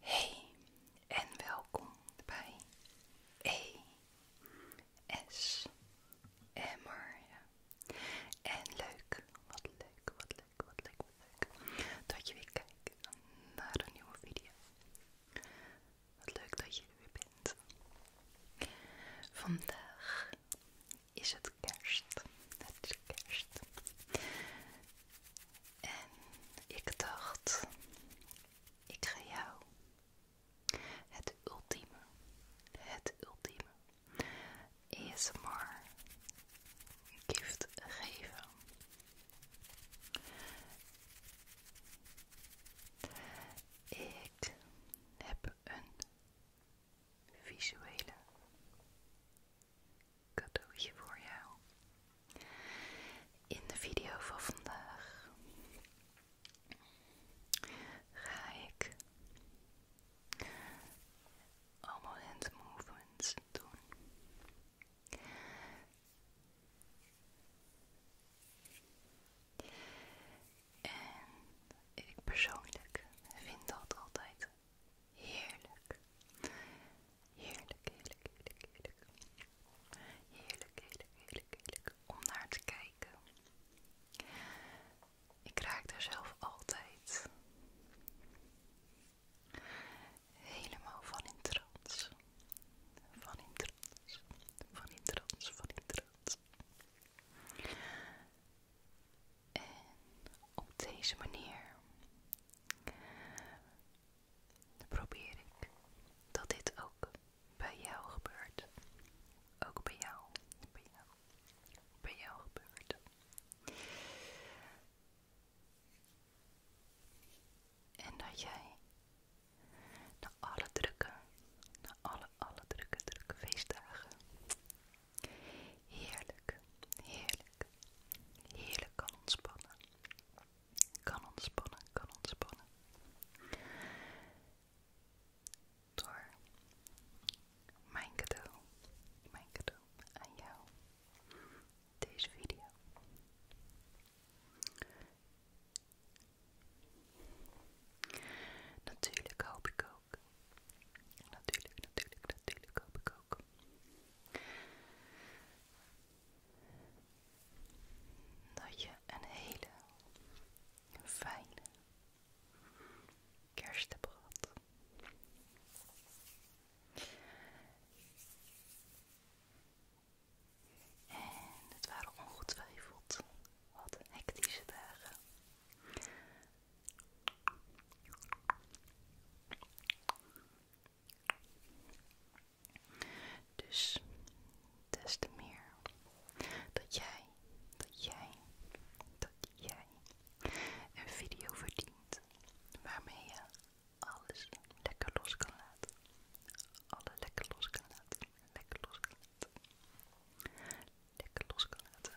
Hey en welkom bij E S Emmer. En leuk, wat leuk, wat leuk, wat leuk, wat leuk dat je weer kijkt naar een nieuwe video. Wat leuk dat je er weer bent. Vandaag is het kerst. Het is kerst. En ik dacht, ik ga jou het ultieme, het ultieme maar gift geven. Ik heb een visuele cadeautje voor jou. In de video van vandaag ga ik allemaal hand movements doen. En ik persoonlijk vind dat altijd heerlijk. Heerlijk, heerlijk, heerlijk, heerlijk. Heerlijk, heerlijk, heerlijk, heerlijk. Om naar te kijken. Ik raak daar zelf altijd helemaal van in trots, Van in trots, van in trots, van in trots. En op deze manier probeer ik dat dit ook bij jou gebeurt. Ook bij jou, bij jou, bij jou gebeurt. En dat jij de alle drukke, alle, alle drukke, drukke feestdagen Heerlijk, heerlijk, heerlijk kan ontspannen. Kan ontspannen, kan ontspannen. Door mijn cadeau, mijn cadeau aan jou. Deze video. Natuurlijk hoop ik ook. Natuurlijk, natuurlijk, natuurlijk hoop ik ook. Dat je een hele fijne kerst hebt gehad. En het waren ongetwijfeld wat hectische dagen. Dus des te meer dat jij, dat jij, dat jij een video verdient waarmee je alles lekker los kan laten. Alle lekker los kan laten. Lekker los kan losgelaten.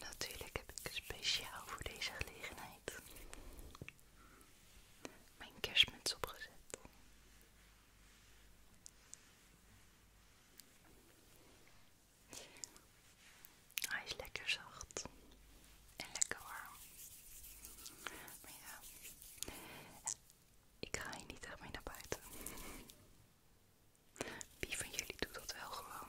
Natuurlijk heb ik speciaal voor deze gelegenheid mijn kerstmuts opgezet. Hij is lekker zacht en lekker warm. Maar ja, ik ga hier niet echt mee naar buiten. Wie van jullie doet dat wel gewoon?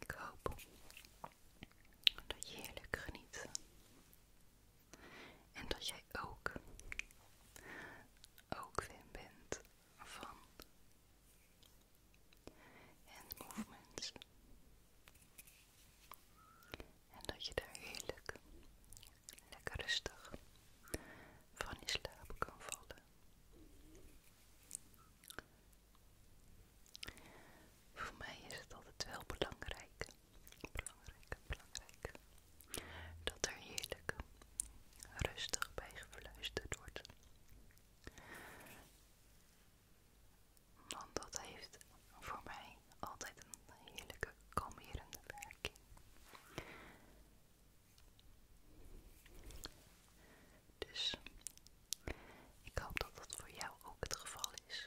Ik hoop dat je heerlijk geniet en dat jij ook, ook fan bent van hand movements. En dat je daar heerlijk, lekker rustig van je slaap kan vallen. Voor mij is het altijd wel belangrijk, belangrijk, belangrijk, dat er heerlijk rustig bij gefluisterd wordt. Want dat heeft voor mij altijd een heerlijke kalmerende werking. Dus ik hoop dat dat voor jou ook het geval is.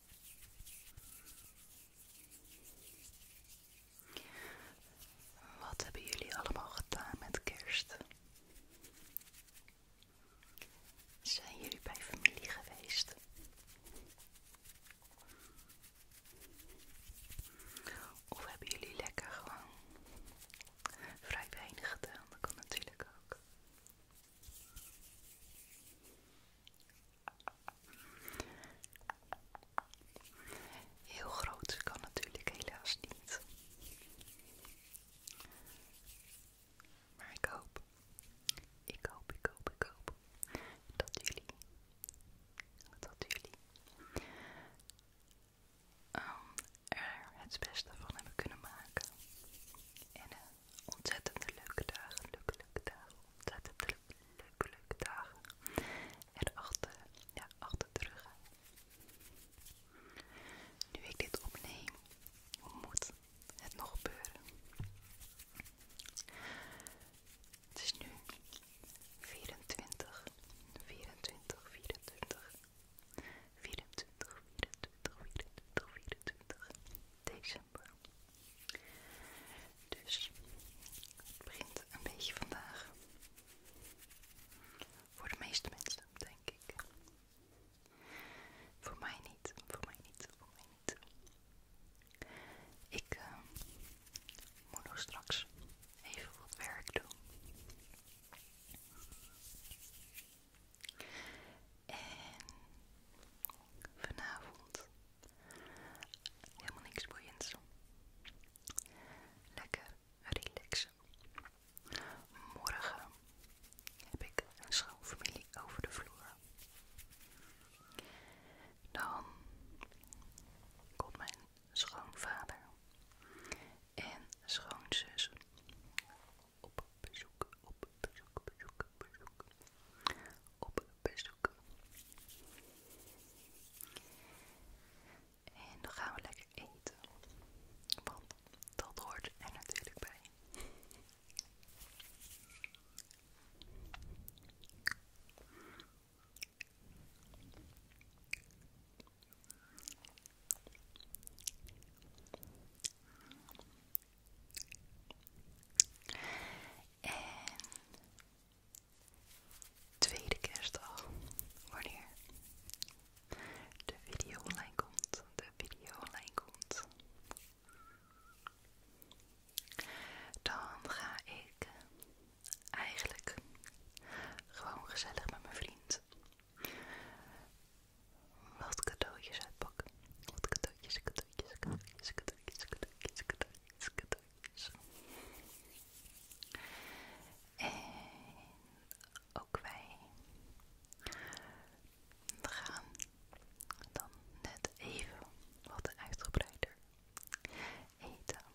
Wat hebben jullie allemaal gedaan met kerst? Zijn jullie bij familie geweest? Of hebben jullie lekker gewoon vrij weinig gedaan? Dat kan natuurlijk ook. Heel groot kan natuurlijk helaas niet. Maar ik hoop, ik hoop, ik hoop, ik hoop dat jullie, dat jullie ehm, er het beste van hebben kunnen maken. En eh, ontzettend leuke dagen, leuke, leuke dagen, Er leuke, leuke, ja, achter terug. Nu ik dit opneem, moet het nog gebeuren. Het is nu 24, 24, 24, 24, 24, 24, 24 december. Dus het begint een beetje vandaag. Voor de meeste mensen, denk ik. Voor mij niet, voor mij niet, voor mij niet. Ik moet nog straks even wat werk doen. En vanavond helemaal niks boeiends. Lekker relaxen. Morgen heb ik een schoonfamilie over de vloer. Dan komt mijn schoonvader en schoonzus op bezoek, op bezoek, bezoek, bezoek, op bezoek. En dan gaan we lekker eten, want dat hoort er natuurlijk bij. En tweede kerstdag, wanneer de video online komt, de video online komt, dan ga ik eigenlijk gewoon gezellig met mijn vriend wat cadeautjes uitpakken. Wat cadeautjes, cadeautjes, cadeautjes, cadeautjes, cadeautjes, cadeautjes, cadeautjes. En ook wij gaan dan net even wat uitgebreider eten.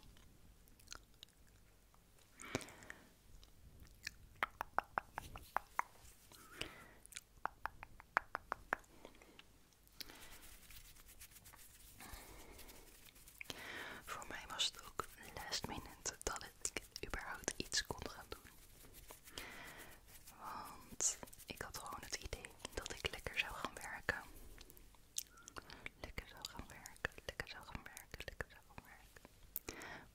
Voor mij was het ook last minute dat ik überhaupt iets kon gaan doen. Want ik had gewoon het idee dat ik lekker zou gaan werken. Lekker zou gaan werken, lekker zou gaan werken, lekker zou gaan werken.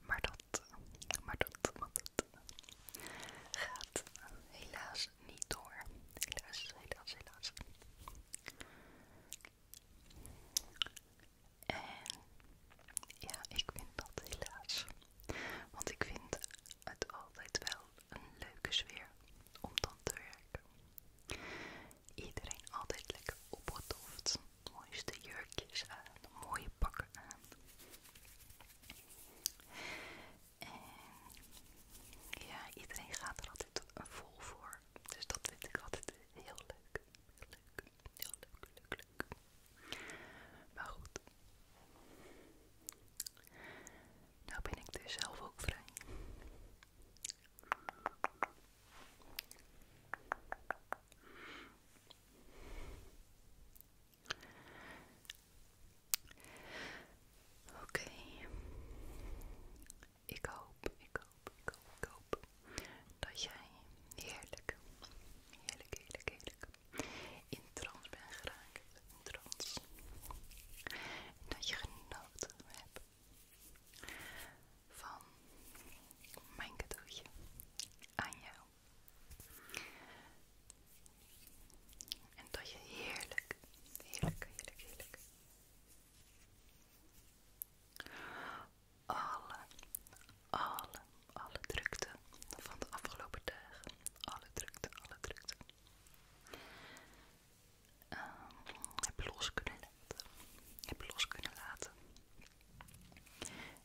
Maar dat, maar dat, maar dat, gaat helaas niet door. Helaas, helaas, helaas. En ja, ik vind dat helaas. Want ik vind het altijd wel een leuke sfeer om dan te werken. Iedereen altijd lekker opgetoft. Mooiste jurkjes aan, mooie pakken aan. En ja, iedereen gaat er altijd vol voor. Dus dat vind ik altijd heel leuk. Leuk, heel leuk, leuk, leuk. Maar goed. Nou ben ik dus zelf ook vrij. Oké. Ik hoop, ik hoop, ik hoop, ik hoop dat jij heerlijk, heerlijk, heerlijk, heerlijk in trance bent geraakt. In trance. En dat je genoten hebt van mijn cadeautje aan jou. En dat je heerlijk, heerlijk, heerlijk, heerlijk. Alle, alle, alle drukte van de afgelopen dagen. Alle drukte, alle drukte. Um, heb los kunnen laten. Heb los kunnen laten.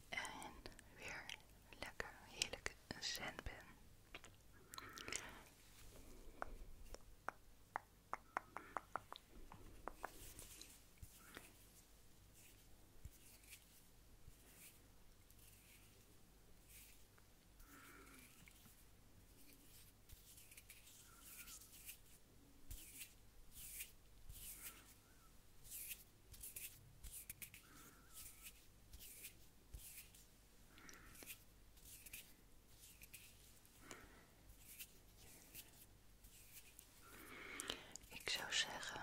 En weer lekker heerlijk zen ben. Ik zou zeggen,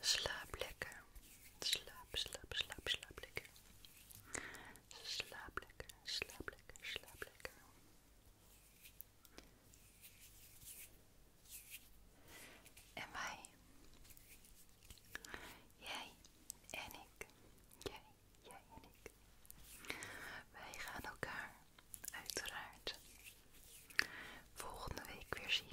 slaap lekker, slaap, slaap, slaap, slaap lekker, slaap lekker, slaap lekker, slaap lekker. En wij, jij en ik, jij, jij en ik, wij gaan elkaar uiteraard volgende week weer zien.